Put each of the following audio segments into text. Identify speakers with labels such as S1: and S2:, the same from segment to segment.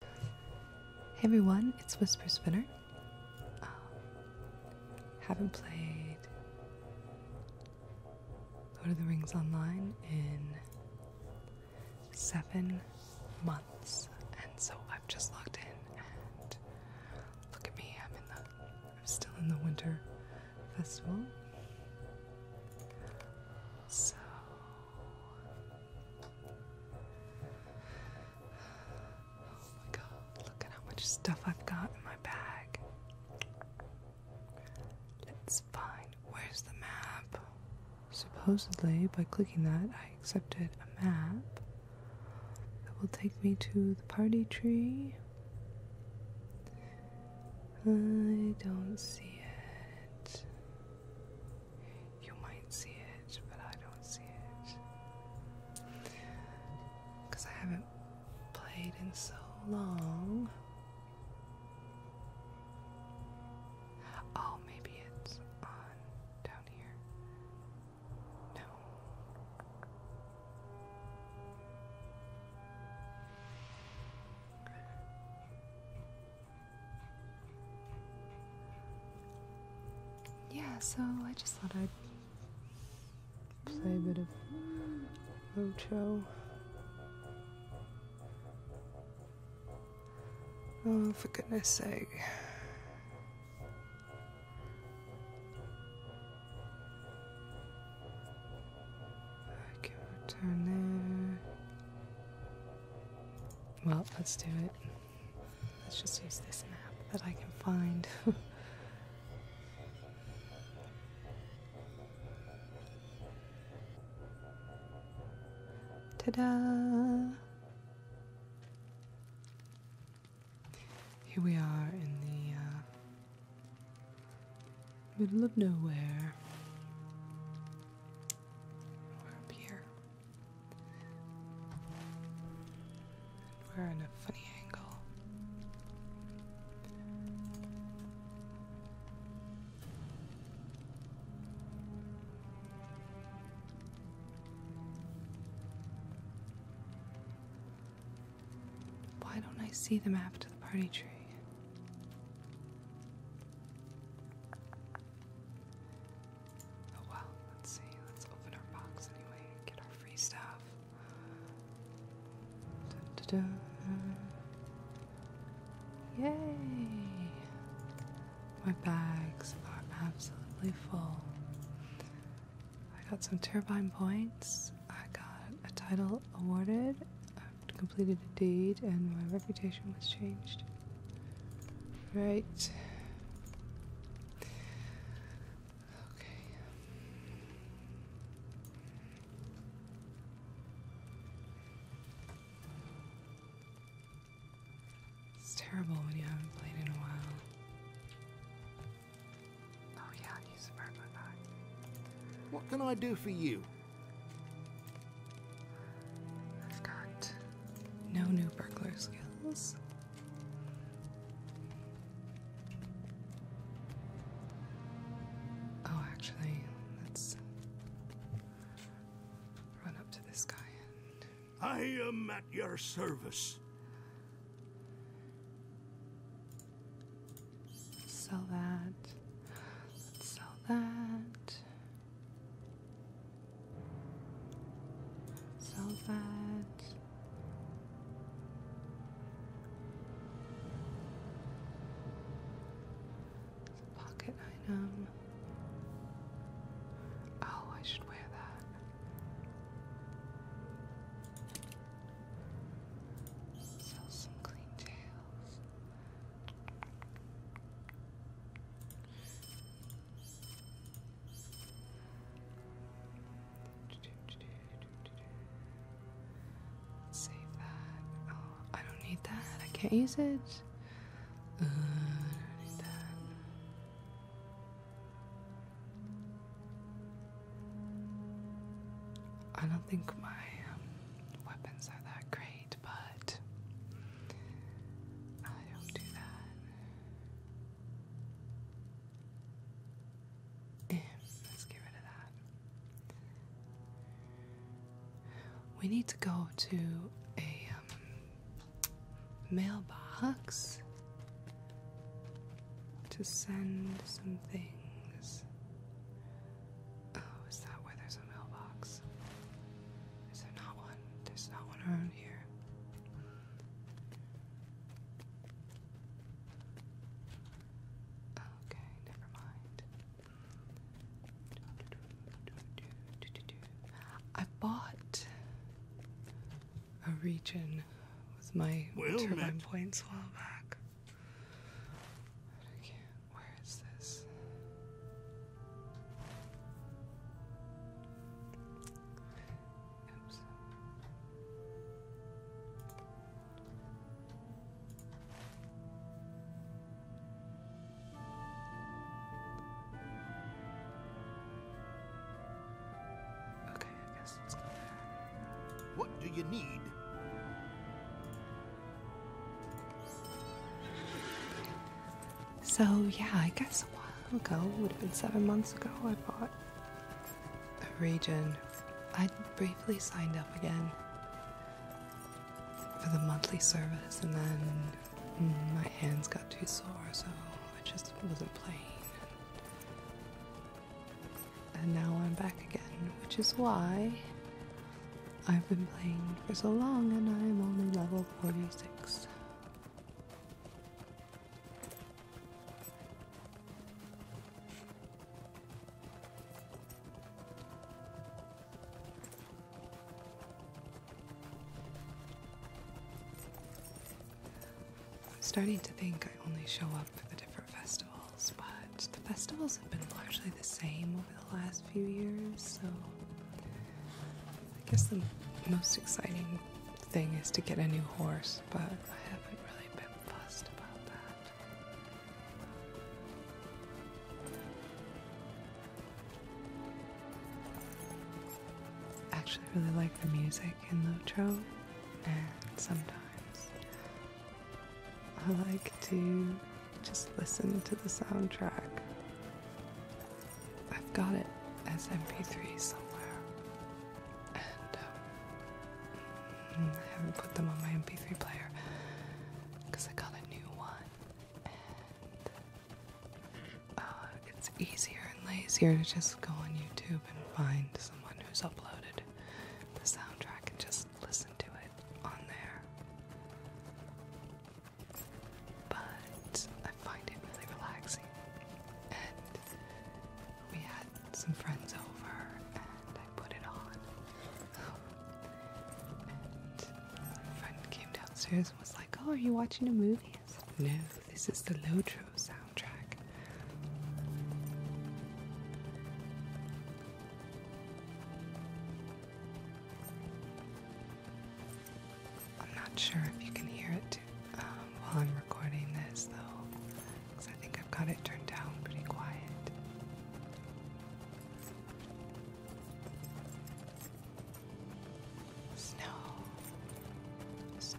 S1: Hey everyone, it's Whisper Spinner. Um, haven't played Lord of the Rings Online in seven months, and so I've just logged in. And look at me, I'm in the, I'm still in the winter festival. So Oh my god, look at how much stuff I've got in my bag. Let's find where's the map. Supposedly, by clicking that, I accepted a map that will take me to the party tree. I don't see it. You might see it, but I don't see it. I haven't played in so long. Oh, maybe it's on down here. No yeah, so I just thought I'd play a bit of Roadshow. Oh, for goodness sake. I can return there. Well, let's do it. Let's just use this map that I can find. Ta-da! Here we are in the uh, middle of nowhere. We're up here. We're in a funny angle. Why don't I see the map to the party tree? Oh well, let's see. Let's open our box anyway get our free stuff. Yay! My bags are absolutely full. I got some turbine points. I got a title awarded. I uh, completed a deed, and my reputation was changed. Right. Okay. It's terrible when you haven't played in a while. Oh yeah, I use the bird What can I do for you? I've got no new burglar skills. Oh, actually, let's run up to this guy I am at your service. Sell that. sell that sulfates. It's a pocket item. Oh, I should wear that. Sell some clean tails. Save that. Oh, I don't need that. I can't use it. Uh, I don't need that. I don't think my um, weapons are that great but I don't do that. let's get rid of that. We need to go to a um, mailbox to send some things. Oh, is that where there's a mailbox? Is there not one? There's not one around here. Okay, never mind. I bought a region with my turbine points while back. is this? Okay, I guess What do you need? So, yeah, I guess a while ago, would have been seven months ago, I bought a region. I briefly signed up again for the monthly service, and then mm, my hands got too sore, so I just wasn't playing. And now I'm back again, which is why I've been playing for so long and I'm only level 46. I'm starting to think I only show up at the different festivals, but the festivals have been largely the same over the last few years, so I guess the most exciting thing is to get a new horse, but I haven't really been fussed about that. Actually, really like the music in Lotro, and sometimes I like to just listen to the soundtrack. I've got it as MP3 somewhere, and um, mm, I haven't put them on my MP3 player because I got a new one, and uh, it's easier and lazier to just go on YouTube and find someone who's uploaded the soundtrack and just listen to it on there but I find it really relaxing. And we had some friends over, and I put it on. And my friend came downstairs and was like, "Oh, are you watching a movie?" "No, this is the Lotro soundtrack." I'm not sure if you can hear it um, while I'm recording this, though, because I think I've got it turned down pretty quiet. Snow, snow.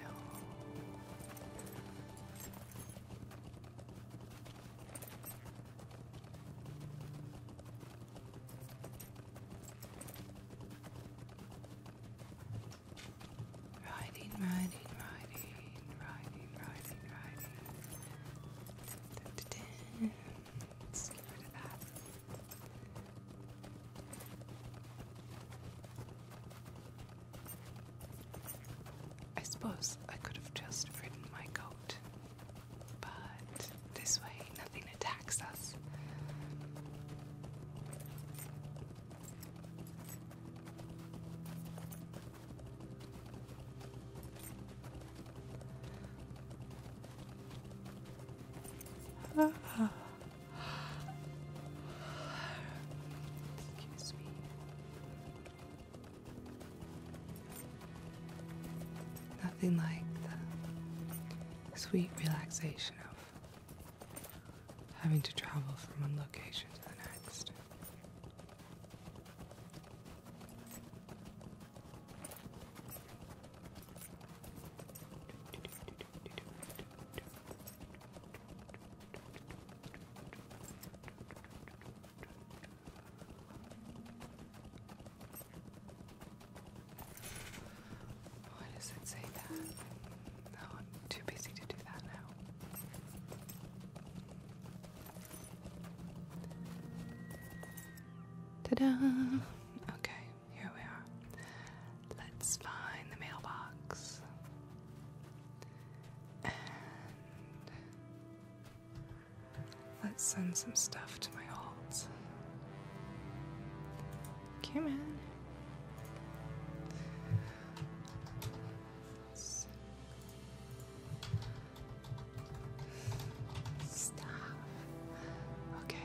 S1: Riding, riding, riding, riding, riding, riding. I suppose I could have just ridden my goat but this way, nothing attacks us. Excuse me. Nothing like the sweet relaxation of having to travel from one location to the next. Why does it say that? No, oh, I'm too busy to do that now. Ta-da! Okay, here we are. Let's find the mailbox. Let's send some stuff to my alt. Come in. let Okay.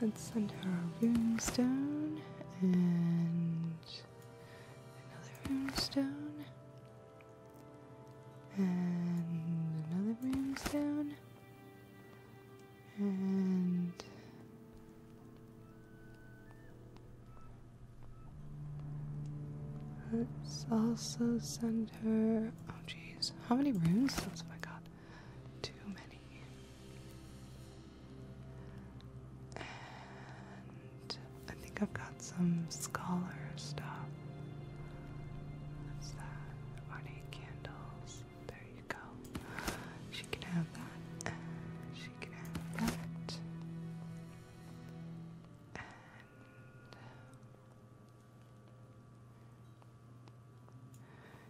S1: Let's send our rune stone and Another stone, And another stone, And let's also send her. Oh, jeez, how many runes? That's oh what I got. Too many. And I think I've got some scholar stuff. that? Ornate candles. There you go. She can have that. she can have that.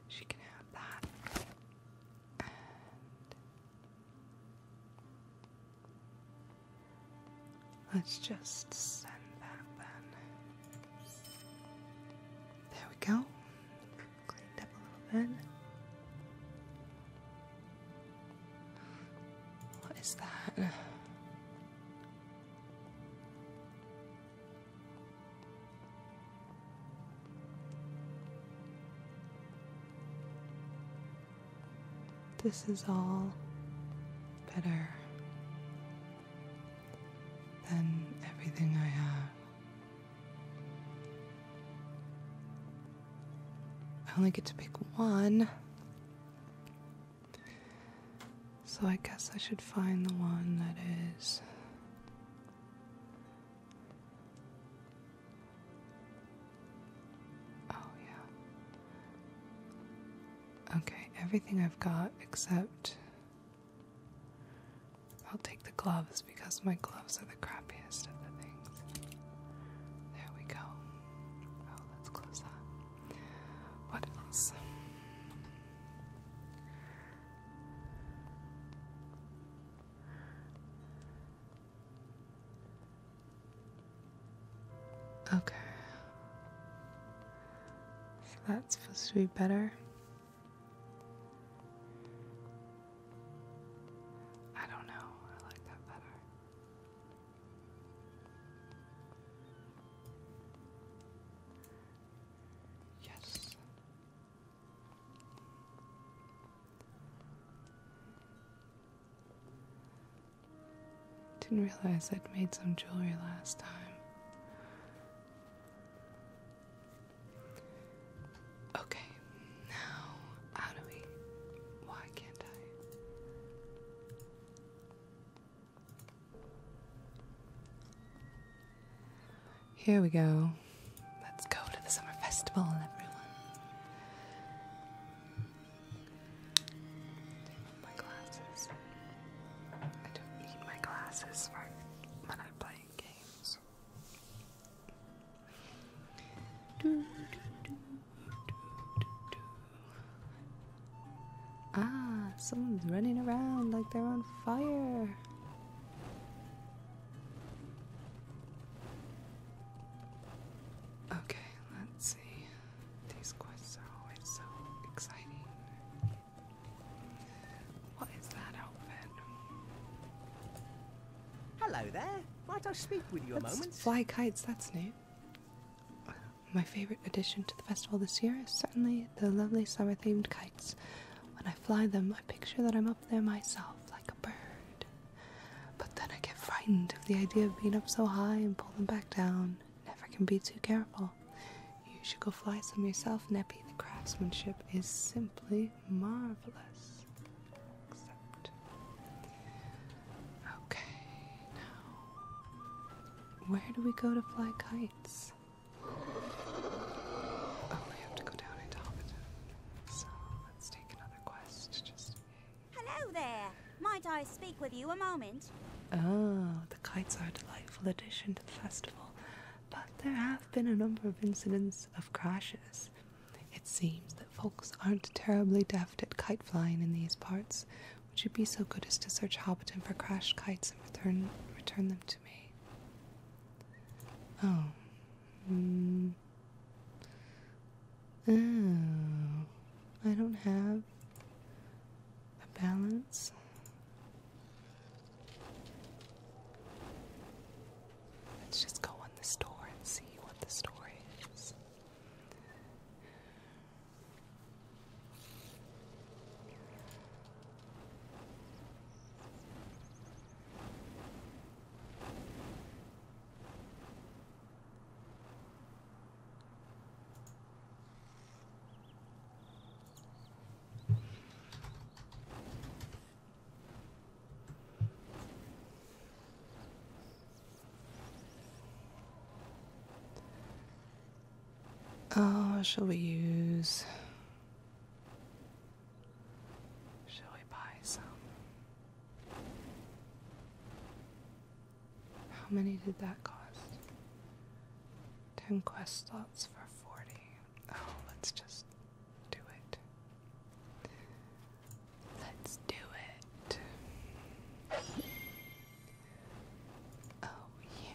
S1: she can have that. Let's just send that then. There we go. Cleaned up a little bit. What is that? This is all better than everything I have. I only get to pick one. So I guess I should find the one that is Oh, yeah. Okay, everything I've got except. I'll take the gloves because my gloves are the crappiest of the things. There we go. Oh, let's close that. What else? Okay. that's supposed to be better. I don't know. I like that better. Yes. Didn't realize I'd made some jewelry last time. Okay, now how do we. Why can't I? Here we go. Let's go to the summer festival, everyone my glasses. I don't need my glasses for when I'm games. Ah, someone's running around like they're on fire. Okay, let's see. These quests are always so exciting. What is that outfit? Hello there. Might I speak with you that's a moment? Fly kites, that's new. My favorite addition to the festival this year is certainly the lovely summer themed kites. When I fly them, I picture that I'm up there myself, like a bird. But then I get frightened of the idea of being up so high and pulling back down. Never can be too careful. You should go fly some yourself, Neppy. The craftsmanship is simply marvelous. Except. Okay, now. Where do we go to fly kites? Oh, we have to go down into Hobbiton. So let's take another quest. Just Hello there. Might I speak with you a moment? Oh, the kites are a delightful addition to the festival, but there have been a number of incidents of crashes. It seems that folks aren't terribly deft at kite flying in these parts. Would you be so good as to search Hobbiton for crashed kites and return return them to me? Oh. Mm. Oh, I don't have a balance. Let's just go in the store and see what the store is. Oh, shall we use? Shall we buy some? How many did that cost? 10 quest slots for 40. Oh, let's just do it. Let's do it. Oh, yeah.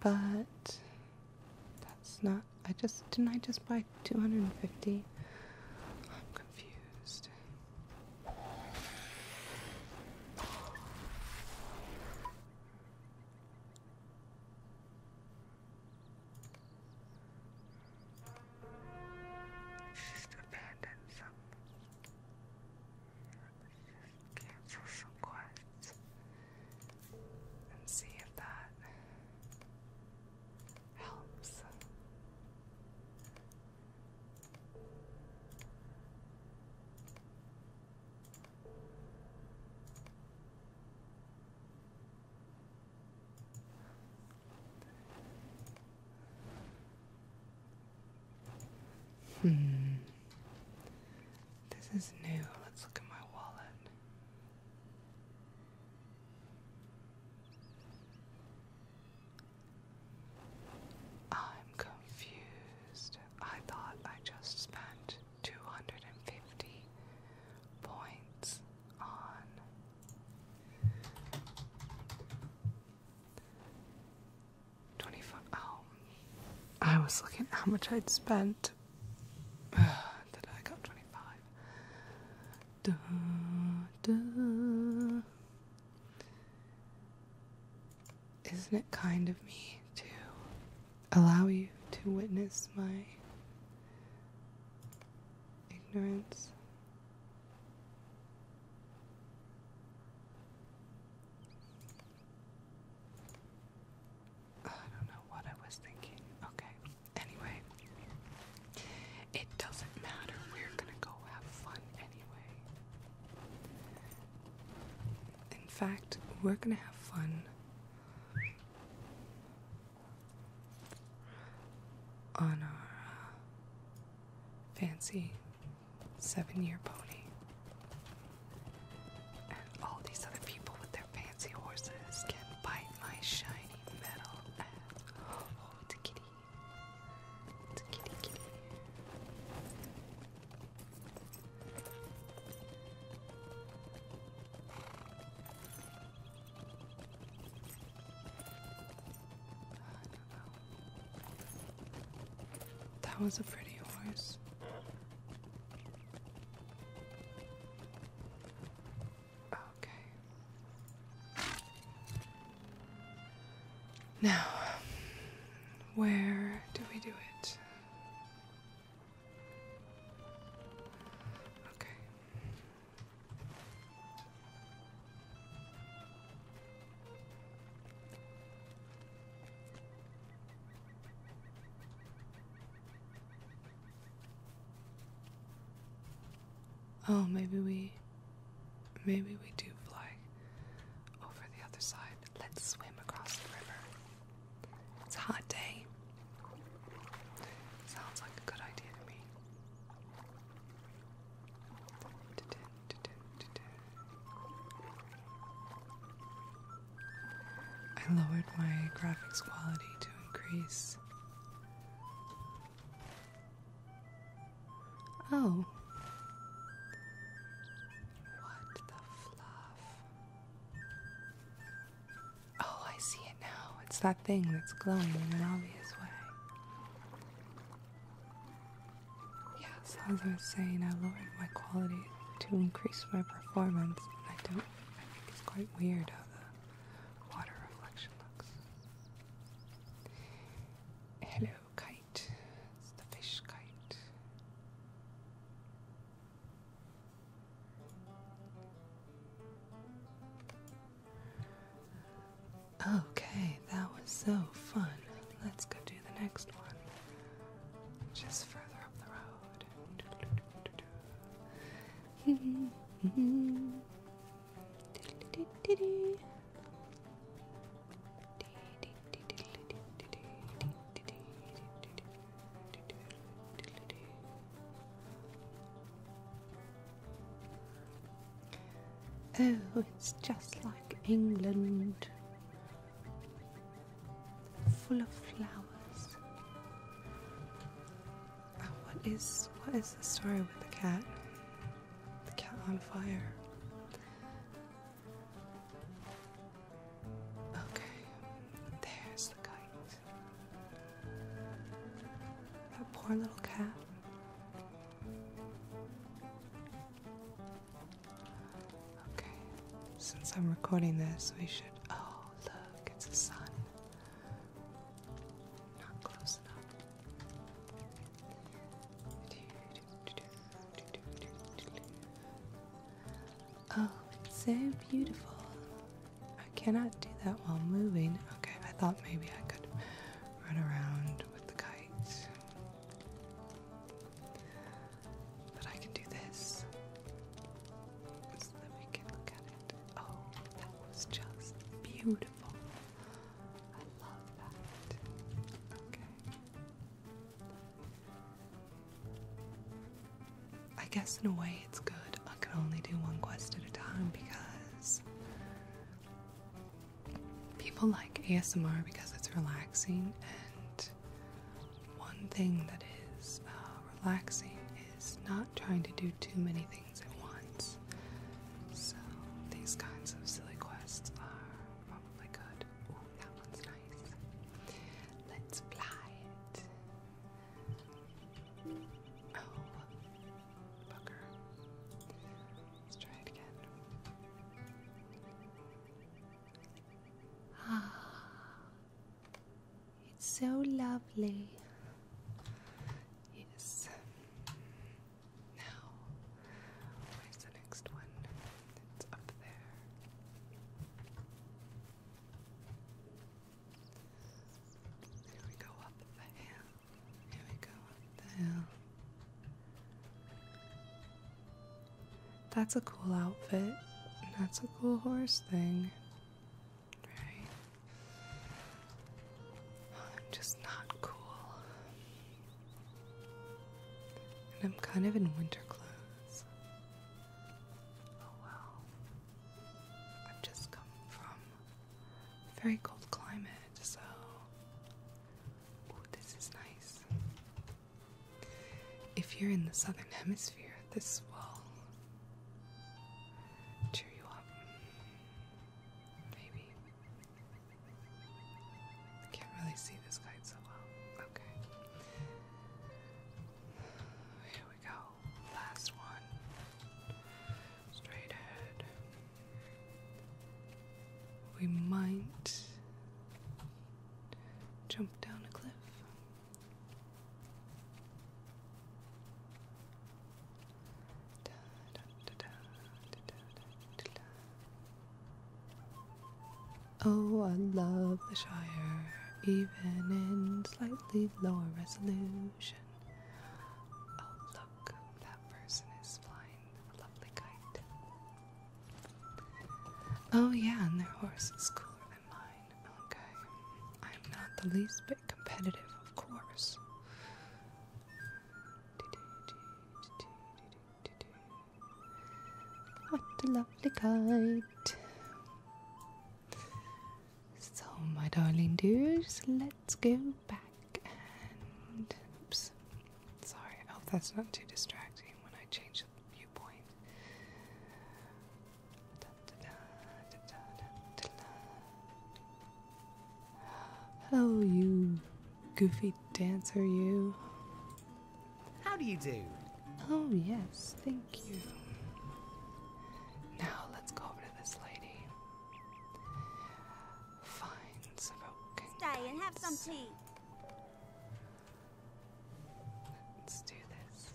S1: But that's not. I just. Didn't I just buy 250? I'm confused. Just abandoned some cancel some quests and see if that helps. Hmm. This is new. Let's look at my wallet. I'm confused. I thought I just spent 250 points on 25. I was looking at how much I'd spent. Did I got 25? Isn't it kind of me to allow you to witness my ignorance? I don't know what I was thinking. Okay. Anyway, it doesn't matter. We're gonna go have fun anyway. In fact, we're gonna have fun on our uh, fancy seven year pony. And all these other people with their fancy horses can bite my shiny metal ass. Oh, it's kitty. It's kitty kitty. I don't know. That was a pretty horse. Okay. Now, where do we do it? Okay. Oh, maybe we. Maybe we do fly over the other side. Let's swim across the river. It's a hot day. Sounds like a good idea to me. I lowered my graphics quality to increase. Oh. What the fluff? Oh, I see it now. It's that thing that's glowing in an obvious way. Yeah, so as I was saying, I lowered my quality to increase my performance, I don't. I think it's quite weird how the water reflection looks. Hello, kite. It's the fish kite. Okay, that was so fun. Let's go do the next one, which further up the road. Oh, it's just like England full of flowers. what is what is the story with the cat? The cat on fire. Okay, there's the kite. That poor little cat. Okay, since I'm recording this, we should. Oh, look, it's the sun. Not close enough. Oh, it's so beautiful. I cannot do that while moving. Okay, I thought maybe I could run around with the kite. But I can do this. So we can look at it. Oh, that was just beautiful. I love that. Okay. I guess in a way it's good. I can only do one quest at a time because people like ASMR because it's relaxing and one thing that is uh, relaxing is not trying to do too many things at once. So these kinds of silly quests are probably good. that one's nice. Let's fly it. Oh, bugger. Let's try it again. Ah, it's so lovely. Yes. Now, where's the next one? It's up there. Here we go up the hill. Here we go up the hill. That's a cool outfit. That's a cool horse thing. Right? I'm just not cool. And I'm kind of in winter clothes. Oh well. I've just come from very cold climate, so. Ooh, this is nice. If you're in the southern hemisphere, this will cheer you up. Maybe. can't really see this kite so well. Okay. Here we go. Last one. Straight ahead. We might jump down a cliff. Oh, I love the Shire, even in slightly lower resolution. Oh, look, that person is flying a lovely kite. Oh, yeah, and their horse is cooler than mine. Okay. I'm not the least bit competitive, of course. What a lovely kite. So, my darling dears, let's go back and. Oops. Sorry, hope that's not too distracting when I change each Oh, you goofy dancer, you. How do you do? Oh, yes, thank you. Now let's go over to this lady. Find some Stay and have some tea. Let's do this.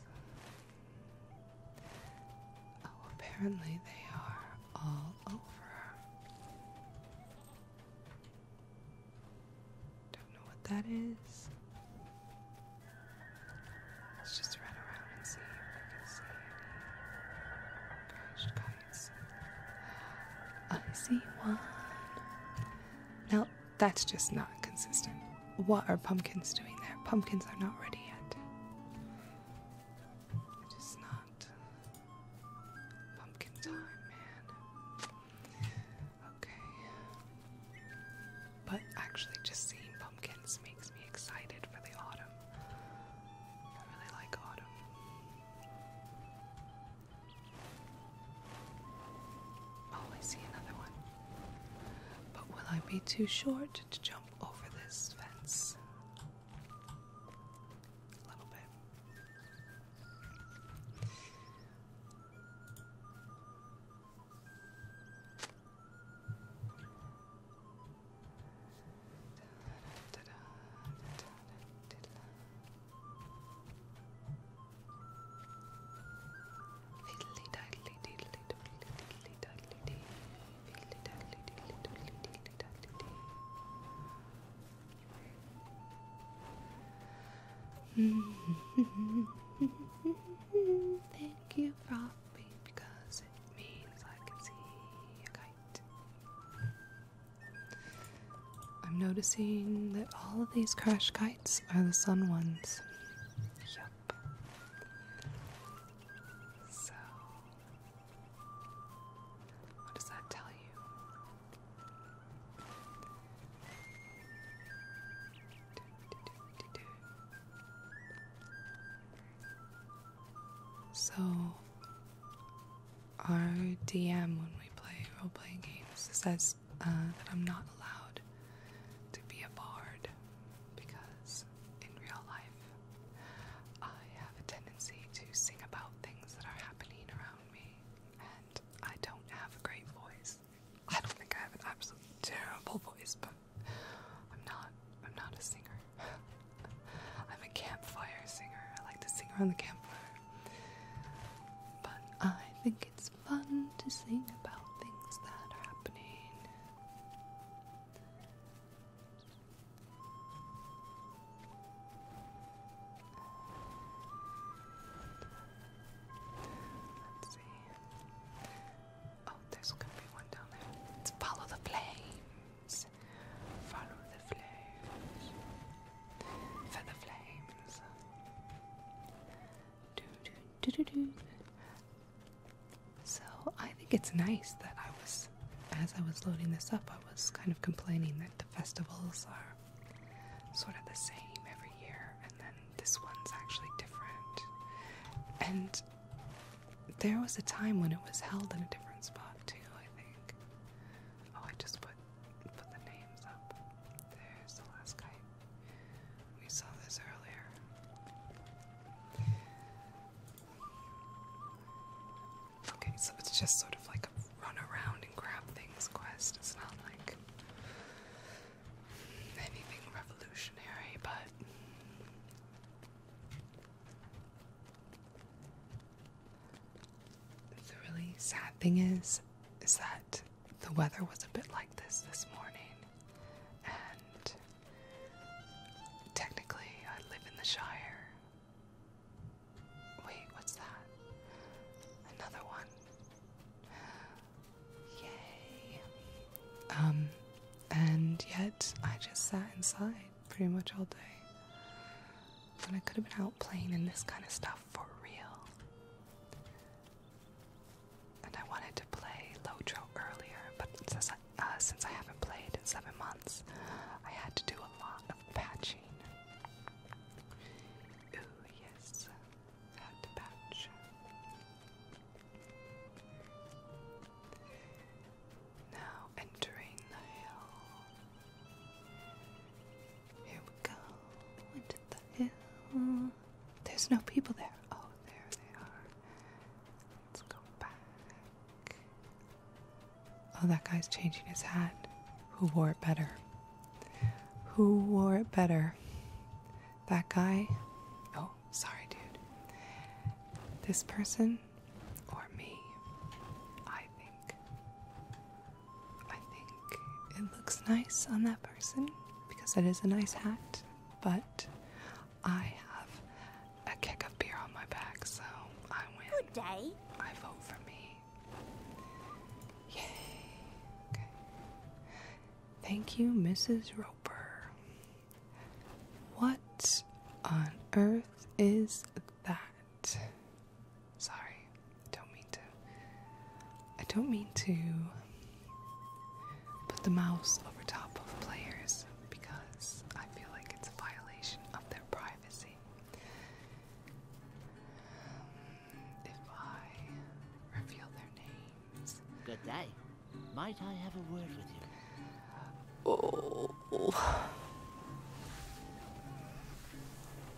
S1: Oh, apparently they are all over. Don't know what that is. Let's just run around and see if we can see any gosh kites. I see one. Now that's just not consistent. What are pumpkins doing there? Pumpkins are not ready yet. It is not pumpkin time, man. Okay. But actually, just seeing pumpkins makes me excited for the autumn. I really like autumn. I oh, I see another one. But will I be too short to jump over this fence? A little bit. Fiddly diddly diddly diddly diddly diddly dee. Fiddly diddly diddly diddly diddly diddly dee. Thank you, Frothy, because it means I can see a kite. I'm noticing that all of these crash kites are the sun ones. Yup. So, what does that tell you? So, our DM when we play role playing games is uh, that I'm not allowed to be a bard because in real life I have a tendency to sing about things that are happening around me and I don't have a great voice. I don't think I have an absolutely terrible voice, but I'm not I'm not a singer. I'm a campfire singer. I like to sing around the campfire. But I think it's fun to sing about things that are happening. Let's see. Oh, there's gonna be one down there. follow the flames. Follow the flames. For flames. So I think it's nice that I was, as I was loading this up, I was kind of complaining that the festivals are sort of the same every year, and then this one's actually different. And there was a time when it was held in a different spot, too, I think. Oh, I just put put the names up. There's the last guy We saw this earlier. Okay, so it's just sort of like a run around and grab things quest. It's not like anything revolutionary, but. The really sad thing is, is that the weather was a bit like this this morning, and technically, I live in the Shire. Wait, what's that? Another one. Yay. Um, and yet I just sat inside pretty much all day. When I could have been out playing in this kind of stuff for real. And I wanted to play Lojo earlier, but since I, uh, since I haven't played in seven months, I had to do a lot of patching. Ooh, yes, had to patch. Now entering the hill. Here we go into the hill. There's no people there. Oh, there they are. Let's go back. Oh, that guy's changing his hat. Who wore it better? Who wore it better? That guy? Oh, sorry, dude. This person or me? I think. I think it looks nice on that person because it is a nice hat, but I have a kick of beer on my back, so I win. Good day. I vote for me. Yay. Okay. Thank you, Mrs. Roper. What on earth is that? Sorry, don't mean to. I don't mean to put the mouse over top of players because I feel like it's a violation of their privacy. if I reveal their names. Good day. Might I have a word with you? Oh.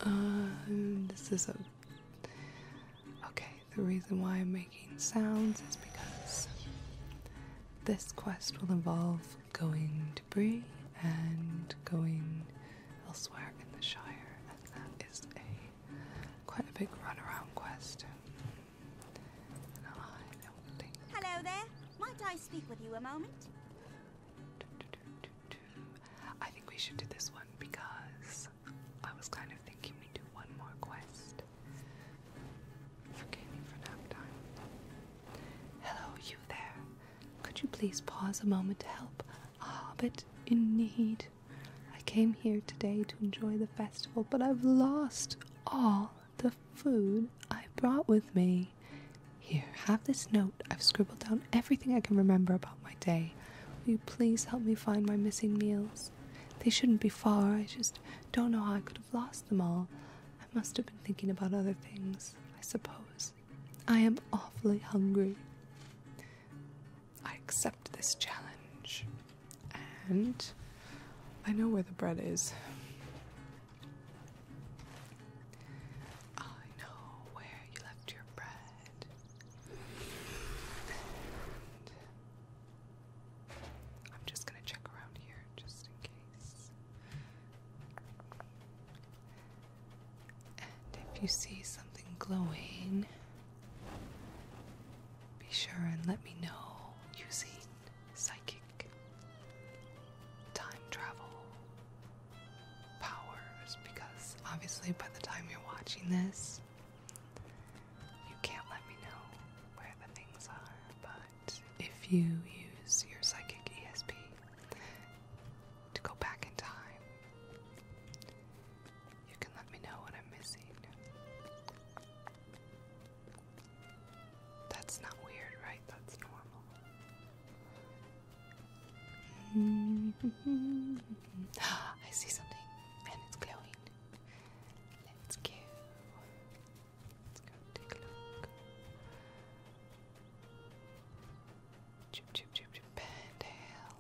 S1: Uh, this is a Okay, the reason why I'm making sounds is because this quest will involve going to Bree and going elsewhere in the Shire, and that is a quite a big runaround quest. Hello there. Might I speak with you a moment? I think we should do this one because I was kind of thinking we do one more quest. Forgive for nap time. Hello, you there. Could you please pause a moment to help a hobbit in need? I came here today to enjoy the festival, but I've lost all the food I brought with me. Here, have this note I've scribbled down everything I can remember about my day. Will you please help me find my missing meals? They shouldn't be far, I just don't know how I could have lost them all. I must have been thinking about other things, I suppose. I am awfully hungry. I accept this challenge. And I know where the bread is. I know where you left your bread. I'm just going to check around here just in case. And if you see something glowing, be sure and let me know using psychic time travel powers because obviously by the time you're watching this, you can't let me know where the things are. But if you use your psychic ESP to go back in time, you can let me know what I'm missing. That's not weird, right? That's normal. I see something and it's glowing. Let's go. Let's go take a look. Chip chip chip chip bandale.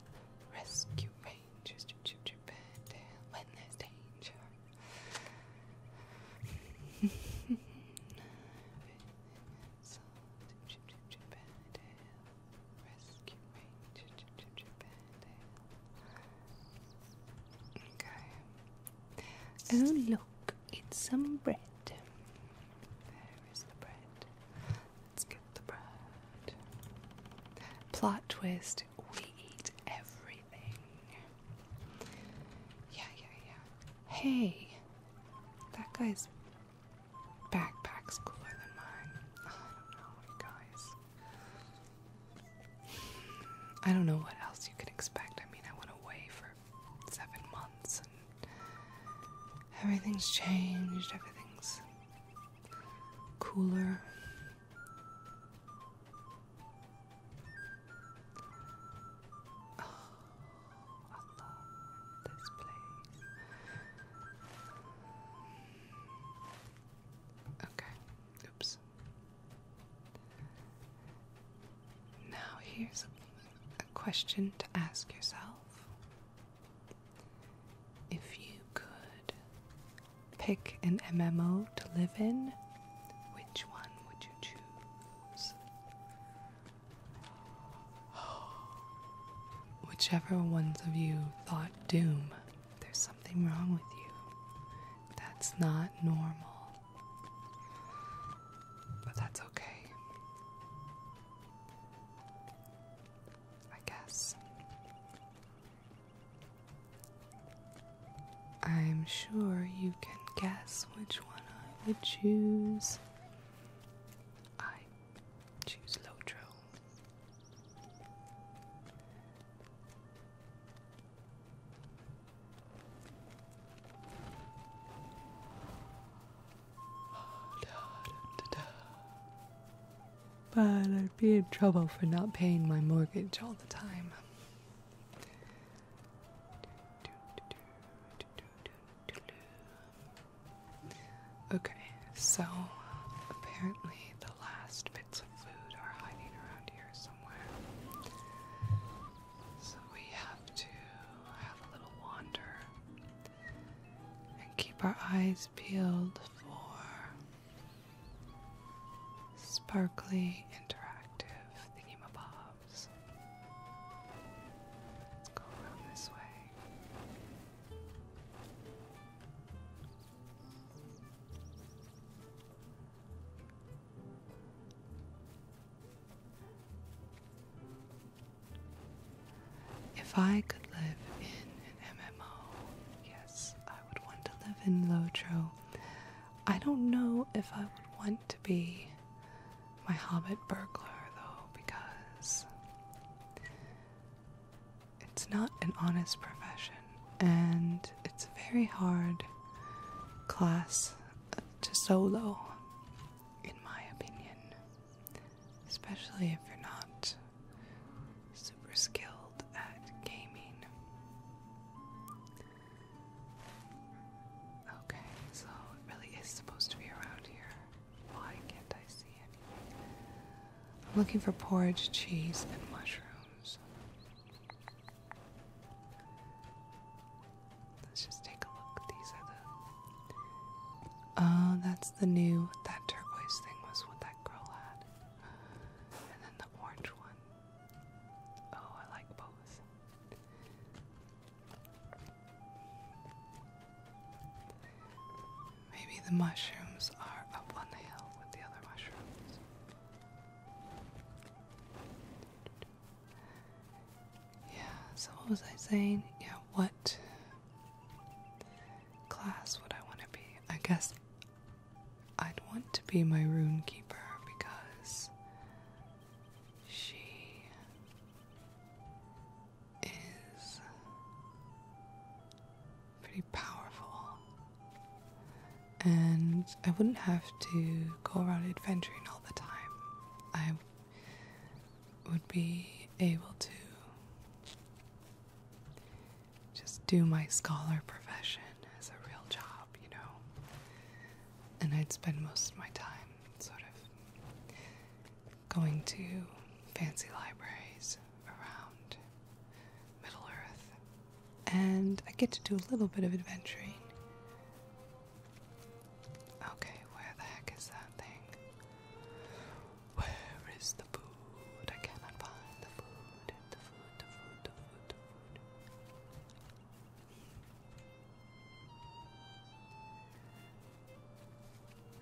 S1: Rescue rangers. Chip chip chip bandale. When there's danger. Chip chip chip bandale. Oh look, it's some bread. There is the bread. Let's get the bread. Plot twist: We eat everything. Yeah, yeah, yeah. Hey, that guy's backpack's cooler than mine. Oh, I don't know, guys. I don't know what else you can expect. I mean, I went away for seven months and everything's changed, everything's cooler. Oh, I love this place. Okay. Oops. Now here's a, a question to ask yourself. If you could pick an MMO to live in, which one would you choose? Whichever ones of you thought doom, there's something wrong with you. That's not normal. But that's okay. I guess. I'm sure you can guess which one I would choose. I Choose Lotro. But I'd be in trouble for not paying my mortgage all the time. Okay, so apparently the last bits of food are hiding around here somewhere. So we have to have a little wander and keep our eyes peeled for sparkly interactive thingamabobs.
S2: Let's go around this way.
S1: If I could live in an MMO, yes, I would want to live in Lotro. I don't know if I would want to be my hobbit burglar though, because it's not an honest profession and it's a very hard class to solo, in my opinion, especially if you're not super skilled at gaming. Okay, so it really is supposed to be around here. I I'm looking for porridge, cheese, and mushrooms. Let's just take a look. These are the. Oh, that's the new. That turquoise thing was what that girl had. And then the orange one. Oh, I like both. Maybe the mushrooms are up on the hill with the other mushrooms. Yeah, so what was I saying? Yeah, what class would I want to be? I guess I'd want to be my rune keeper because she is pretty powerful, and I wouldn't have to go around adventuring all the time. I would be able to just do my scholar profession as a real job, you know. And I'd spend most of my time sort of going to fancy libraries around Middle Earth, and I get to do a little bit of adventuring. Okay, where the heck is that thing? Where is the food? I cannot find the food.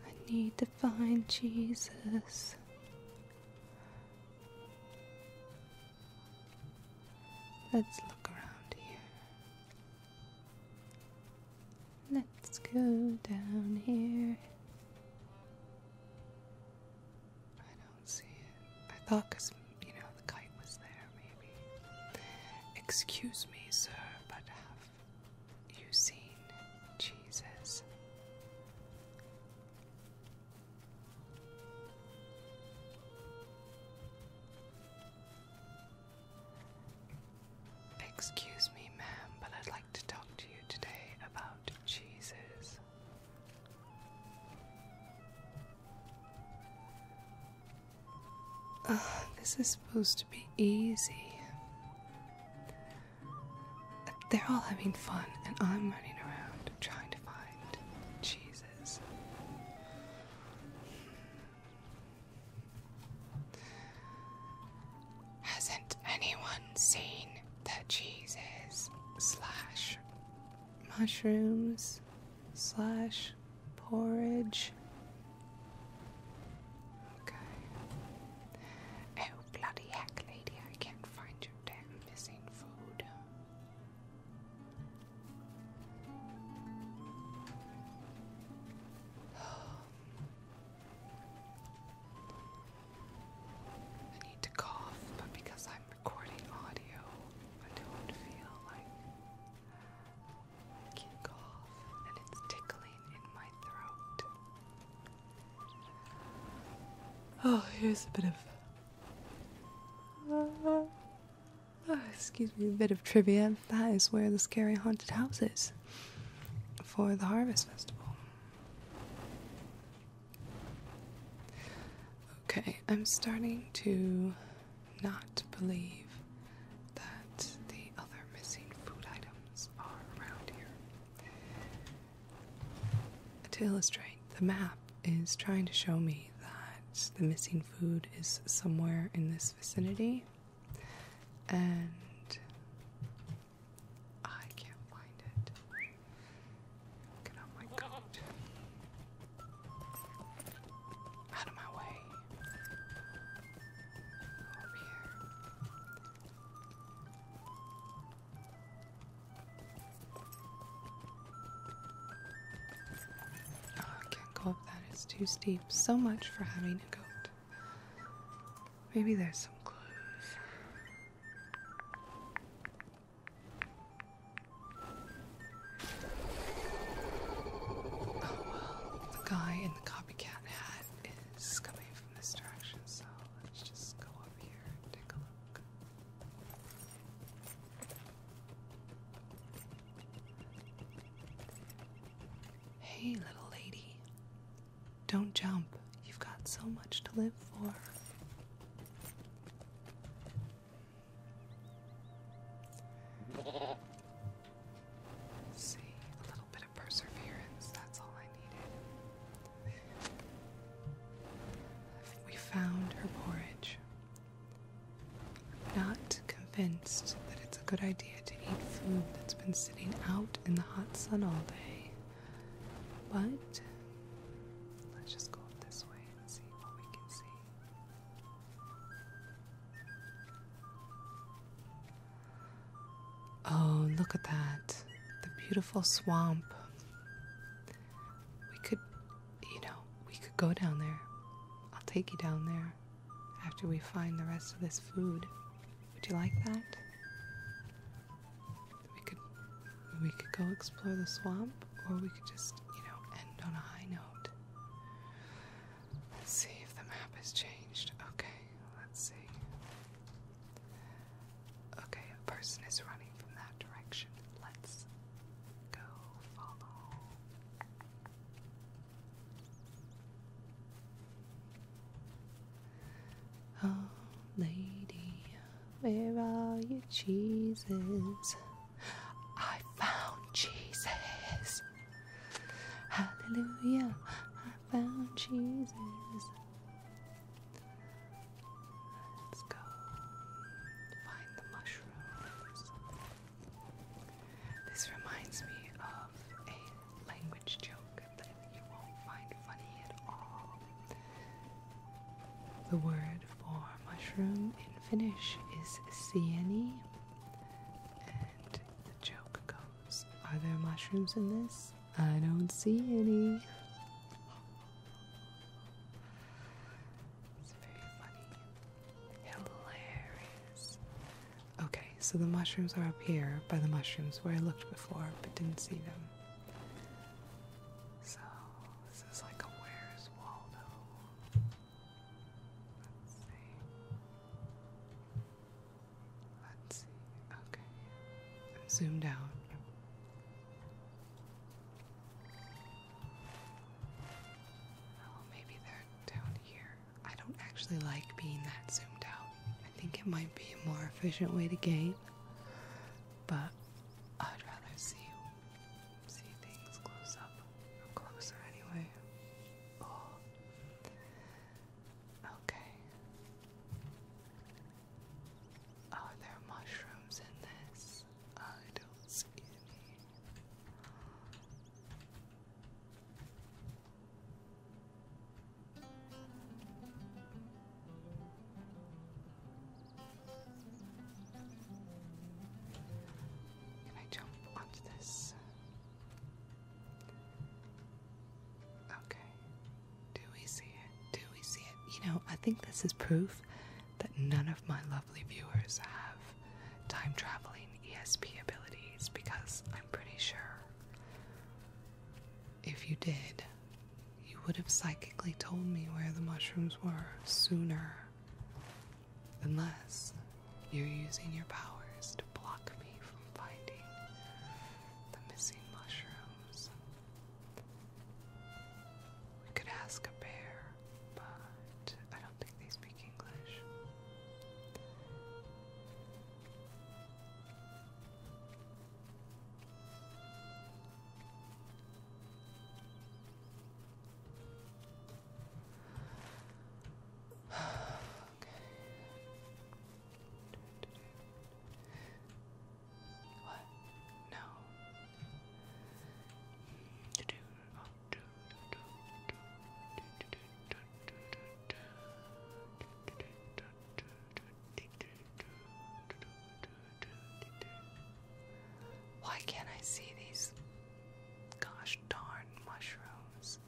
S1: I need to find Jesus. Let's look around here. Let's go down here. I don't see it. I thought because, you know, the kite was there, maybe. Excuse me, sir, but have you've seen Jesus. Excuse me, ma'am, but I'd like to talk to you today about Jesus. Uh, this is supposed to be easy. They're all having fun, and I'm running around trying to find Jesus. Hasn't anyone seen the Jesus slash mushrooms slash porridge Oh, bloody heck, lady, I can't find your damn missing food. I need to cough, but because I'm recording audio, I don't feel like cough, and it's tickling in my throat. Oh, here's a bit of. oh, excuse me, a bit of trivia. That is where the scary haunted house is for the Harvest Festival. Okay, I'm starting to not believe that the other missing food items are around here. To illustrate, the map is trying to show me that the missing food is somewhere in this vicinity, and I can't find it. Get out my coat. Out of my way. Oh, can't go up that. It's too steep. So much for having a goat. Maybe there's some clues. Oh well, the guy in the copycat hat this is coming from this direction, so let's just go over here and take a look. Hey, little lady. Don't jump. You've got so much to live for. little bit of perseverance. That's all I needed. We found her porridge. not convinced that it's a good idea to eat food that's been sitting out in the hot sun all day. But let's just go this way and see what we can see. Oh, look at that. The beautiful swamp. We could, you know, we could go down there. I'll take you down there after we find the rest of this food. Would you like that? We could we could go explore the swamp or we could just, you know, end on a high note. Let's see if the map has changed. Okay, let's see. Okay, a person is running from that direction. Let's go follow. Oh, lady, where are your cheeses? I found Jesus. Hallelujah, found cheeses. Let's go find the mushrooms. This reminds me of a language joke that you won't find funny at all. The word for mushroom in Finnish is sieni, and the joke goes. Are there mushrooms in this? I don't see any. It's very funny. Hilarious. Okay, so the mushrooms are up here by the mushrooms where I looked before but didn't see them. So, this is like a Where's Waldo? Let's see. Okay. Zoom down. Oh, maybe they're down here. I don't actually like being that zoomed out. I think it might be a more efficient way to game, but I'd rather see see things close up closer anyway. Oh. Okay. Are there mushrooms in this? I don't see any. Can I jump onto this? Okay. Do we see it? Do we see it? You know, I think this is proof that none of my lovely viewers have time traveling ESP abilities because I'm pretty sure if you did, you would have psychically told me where the mushrooms were sooner. Unless you're using your powers to block me from finding the missing mushrooms. We could ask a bear, but I don't think they speak English. What? No. Why can't I see these gosh darn mushrooms?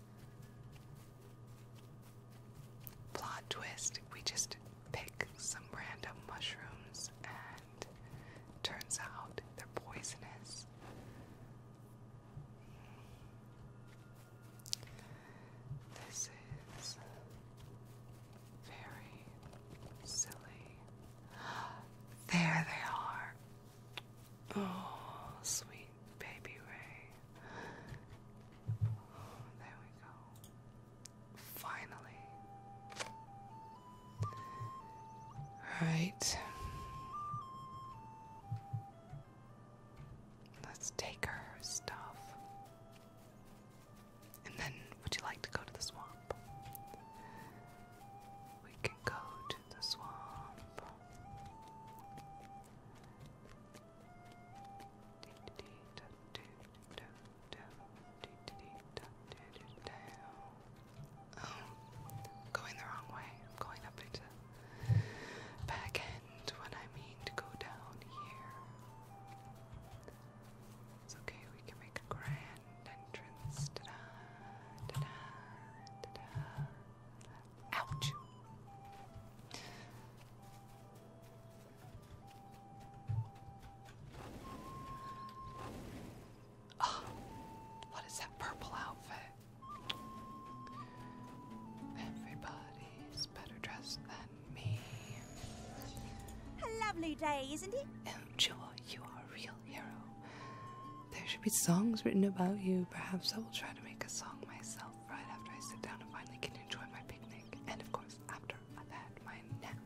S1: Plot twist we just pick some random mushrooms and turns out they're poisonous. This is very silly. There they are. Oh, sweet. Baby, Ray. Oh, there we go. Finally. Alright. Let's take her stuff. And then, would you like to go to the swamp? We can go to the swamp. Oh, i going the wrong way. I'm going up into the when I mean to go down here. It's okay, we can make a grand entrance. Ouch. Oh, what is that purple outfit? Everybody's better dressed than me. A lovely day, isn't it? Enjoy. You are a real hero. There should be songs written about you. Perhaps I will try to make a song myself myself right after I sit down and finally can enjoy my picnic, and of course, after i had my nap.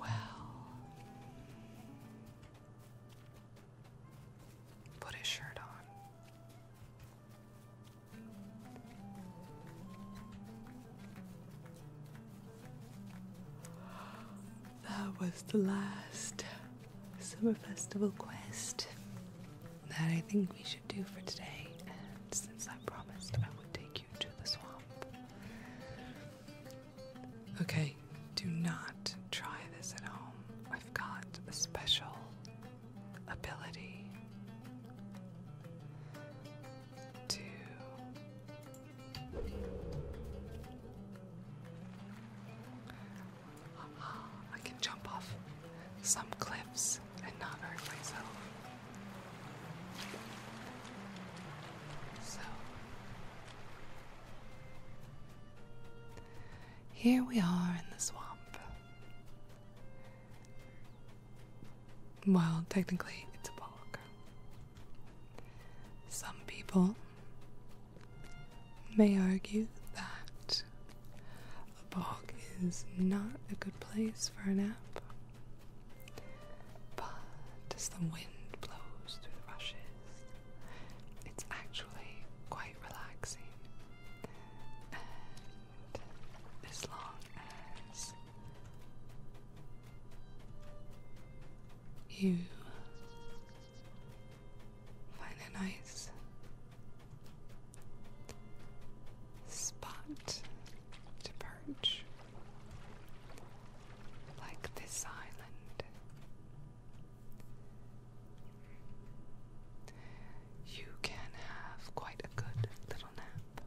S1: Well, put his shirt on. That was the last summer festival quest that I think we should do for today. since I promised I would take you to the swamp. Okay, do not try this at home. I've got a special ability to I can jump off some cliffs and not hurt myself. So, here we are in the swamp. Well, technically, it's a bog. Some people may argue that a bog is not a good place for a nap. But as the wind blows through the rushes, it's actually quite relaxing. as long as you Find a nice spot to perch, like this island. You can have quite a good little nap.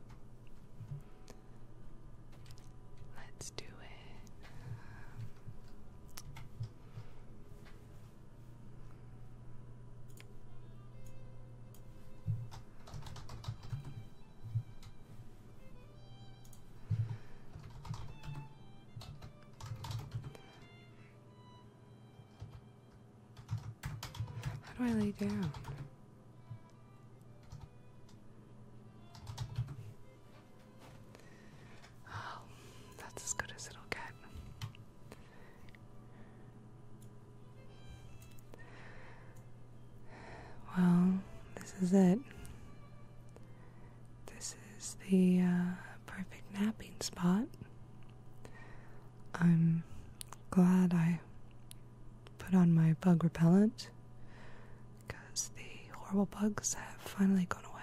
S1: Let's do it. How do I lay down? Oh, that's as good as it'll get. Well, this is it. This is the uh, perfect napping spot. I'm glad I put on my bug repellent because the horrible bugs have finally gone away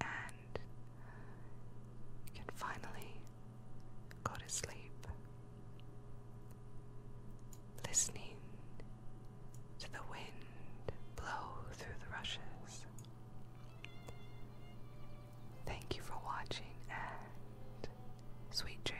S1: and you can finally go to sleep listening to the wind blow through the rushes. Thank you for watching and sweet dreams.